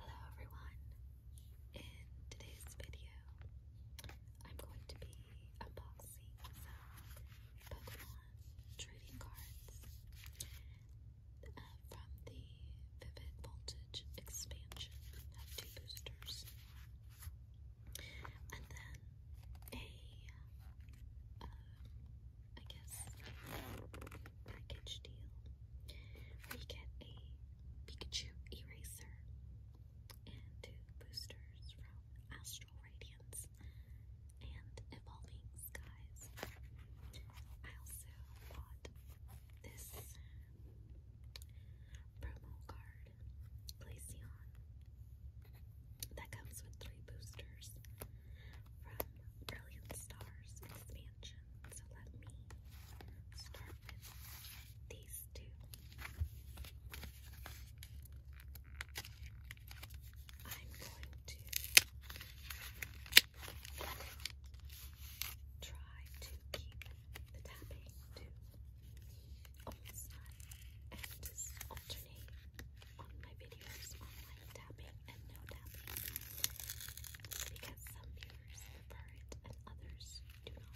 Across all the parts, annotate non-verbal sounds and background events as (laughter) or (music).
Hello everyone. In today's video, I'm going to be unboxing some Pokemon trading cards uh, from the Vivid Voltage expansion. Have two boosters. And then a uh, I guess, package deal where you get a Pikachu eraser and two boosters from Astral Radiance and Evolving Skies. I also bought this promo card, Glaceon that comes with three boosters from Brilliant Stars Expansion. So let me start with these two. I'm going to try to keep the tapping to almost none and just alternate on my videos on like tapping and no tapping because some viewers prefer it and others do not.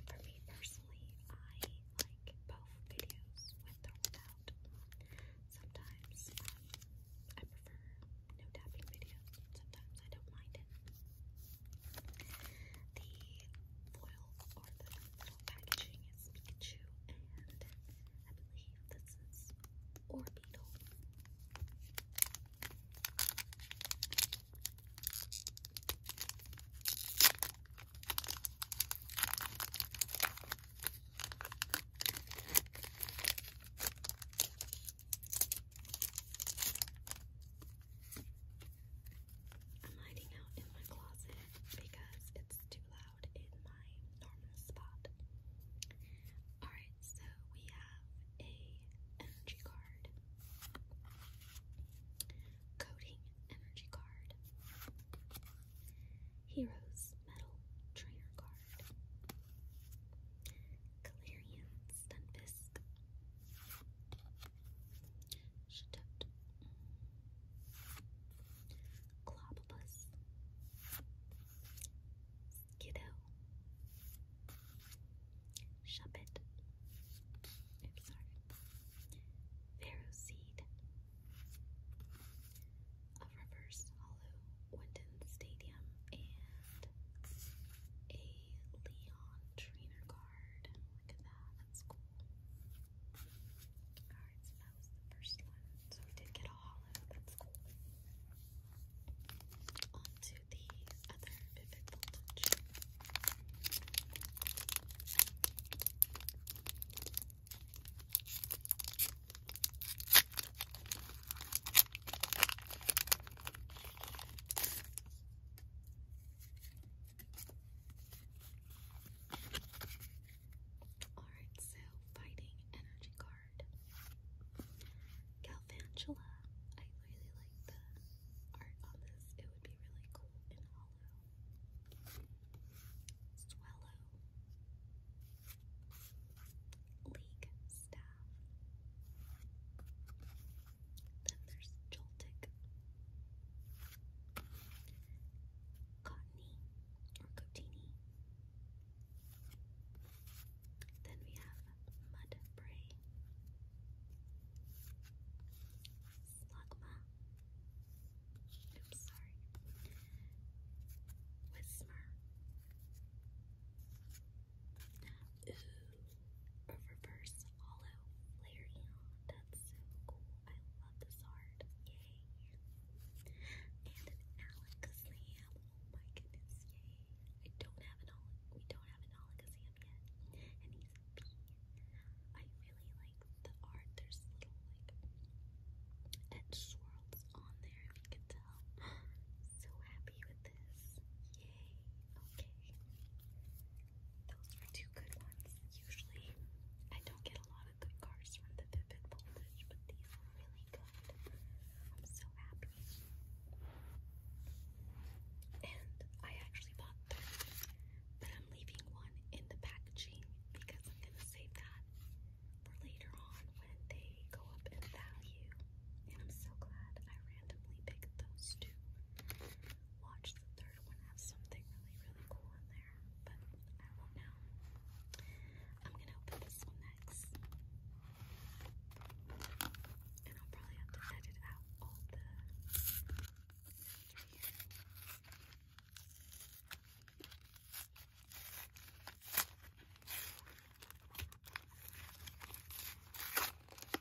For me personally, I like both videos with or without. Sometimes um, I prefer no tapping videos, sometimes I don't mind it foil or the little packaging is Pikachu and I believe this is Orbeetle. I'm hiding out in my closet because it's too loud in my normal spot. Alright, so we have a energy card. Coding energy card. Heroes metal trainer card. Galarian Stunfisk. Shatut. Globulus. Skiddo. Shuppet. Oops, sorry. Pharaoh Seed. A reverse hollow Winton Stadium and a Leon trainer car card. Look that. was the first one. So we did get a hollow. That's cool. On the other vivid voltage. Alright, so fighting energy card. Galvantula. I really like the art on this. It would be really cool in hollow. Swallow. League staff. Then there's Joltic, Cottony or Cotini. Then we have Mudbray, Slugma. Oops, sorry. Wismer, Ooh, reverse hollow Flareon. That's so cool. I love this art. Yay. And an Alakazam. Oh my goodness, yay. I don't have an Al we don't have an Alakazam yet. And he's I really like the art. There's little like edge swirls on there if you can tell. (gasps) so happy with this. Yay. Okay. Those were two good ones. Usually I don't get a lot of good cards from the Vivid Voltage, but these were really good. I'm so happy. And I actually bought three, but I'm leaving one in the packaging because I'm going to save that for later on when they go up in value. And I'm so glad I randomly picked those two watch the third one have something really, really cool in there, but I won't know. I'm gonna open this one next. And I'll probably have to edit out all the right here.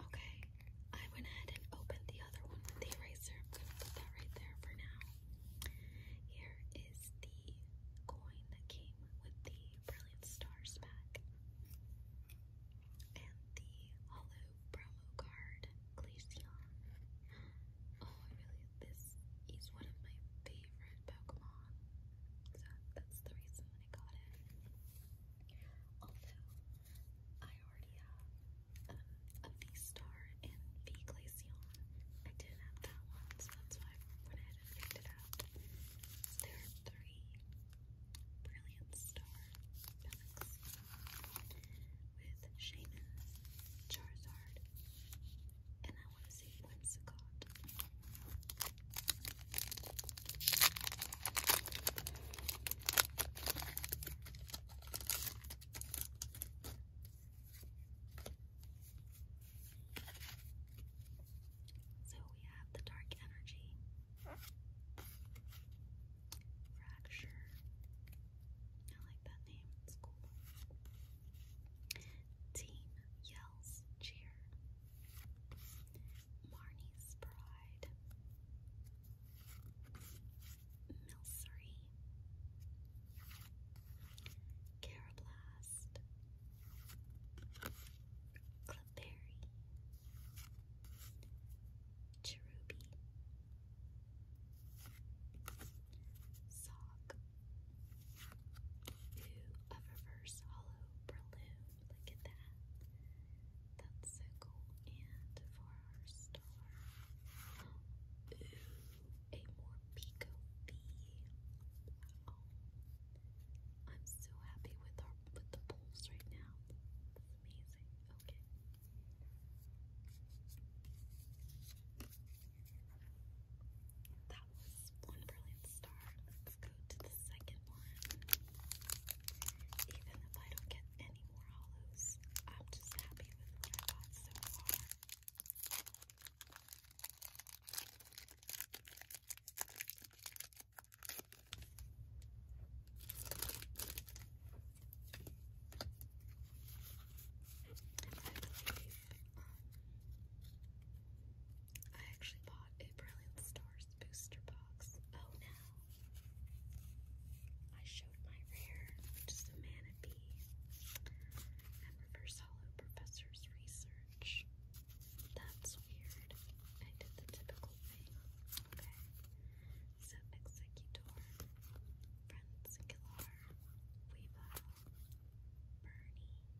Okay, I went ahead and opened the other one the eraser. I'm going to put that right there for now. Here is the coin that came with the Brilliant Stars pack and the Hollow promo card Glaceon. Oh, really, this is one of my favorite Pokemon, so that's the reason that I got it. Although, I already have um, a V-Star and V-Glaceon. I didn't have that one, so that's why I went ahead and picked it out. There are three brilliant star with Shaman, Charizard, and I want to see Whimsicott. So we have the dark energy, fracture. I like that name, it's cool. Team yells cheer. Marnie's pride. Milsery. Carablass. Frost, Clefairy, Sock, Ooh, a reverse hollow Breloom, look at that, that's so cool, and for our star, Ooh, a more pico Wow. am so happy with our with the pulls right now. amazing. Okay. That was one brilliant star. Let's go to the second one. Even if I don't get any more hollows, I'm just happy with what I got so far. I actually bought a Brilliant Stars booster box. Oh no. I showed my rare, just a manapee, and reverse hollow professor's research. That's weird. I did the typical thing. Okay. So, executor, friends, killer, weevil,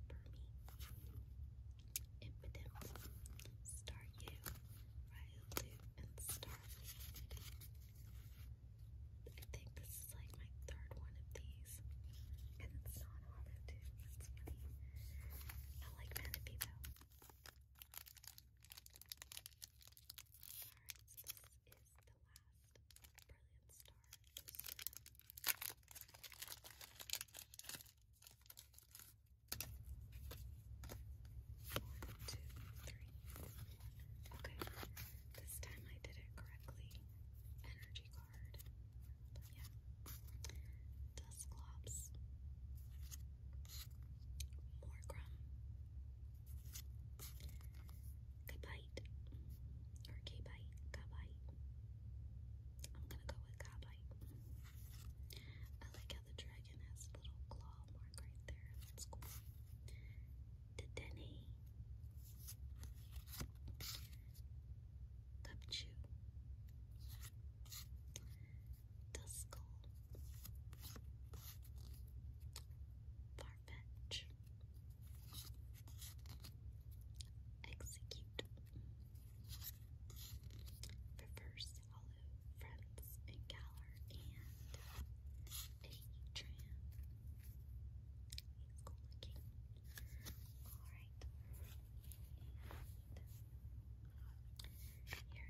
Bernie, Bernie, impotence, star you, Ryulu, and starfleet. I think this this is like my third one of these. And it's not hollow too. That's funny. I like Manaphy though. Alright, so this is the last Brilliant Star poster. Okay, this time I did it correctly. Energy hard. But yeah. Dusclops. Morgrum. Gabite. Or Gabite. Gabite. I'm gonna go with Gabite. I like how the dragon has a little claw mark right there. That's cool to Denny. Cupchew. Duskull. Farfetch. Execute. Reverse Hollow, Friends, and Galler, and Adrian. Alright.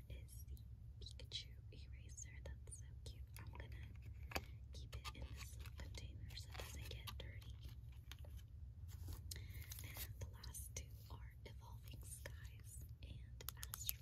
here is the Pikachu eraser. That's so cute. I'm gonna keep it in this container so it does get dirty. And the last two are Evolving Skies and Astral Radiance.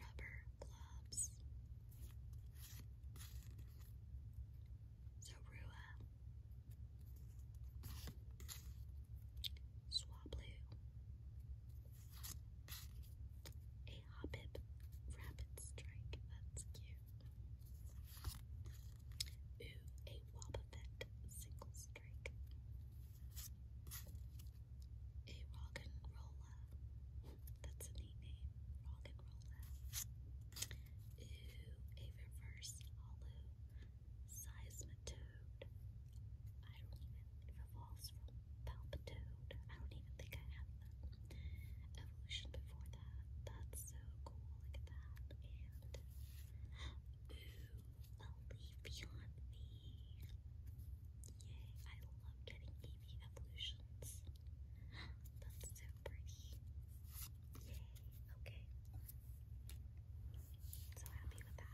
rubber gloves, Zorua, Swablu, a Hobbit Rapid Strike, that's cute. Ooh, a Wobbuffet Single Strike. A rock and roller. That's a neat name. Rock and rolla. Ooh, a reverse hollow seismitoad. I don't even it evolves from palpitoad. I don't even think I have evolution before that. That's so cool. Look that. And (gasps) ooh, a leafy Yay, I love getting Eevee evolutions. That's so pretty. Yay, okay. So happy with that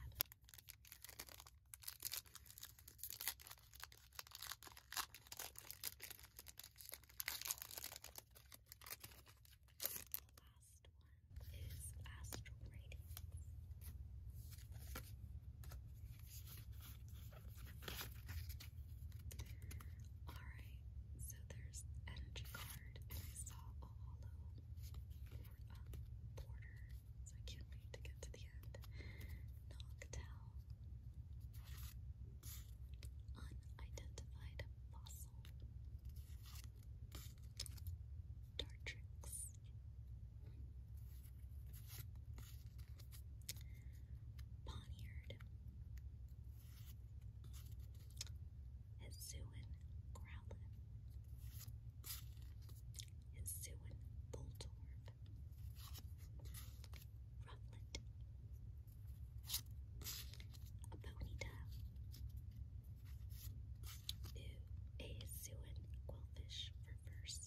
last one is astral ratings. Alright, so there's energy and saw a hollow border, so I can't wait to get to the end. Noctowl. Unidentified fossil. Dartrix. Poniard. Hisuian Growlithe. Hisuian Boltorb. Rufflet. A U a Siouan quillfish reverse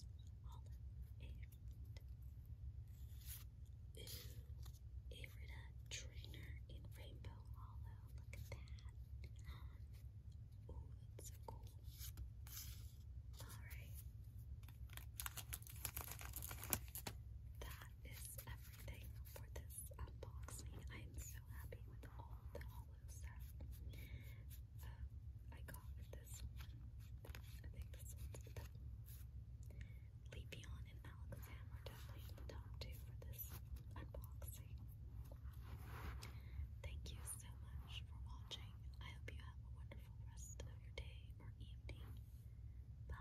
olive and trainer in Rainbow Hollow. Look at that. Oh, that's cool. Alright. That is everything for this unboxing. I am so happy with all the holo stuff I got with this I think this one's the Leapion and Alakazam definitely top two for this unboxing. Thank you so much for watching. I hope you have a wonderful rest of your day or evening. Bye.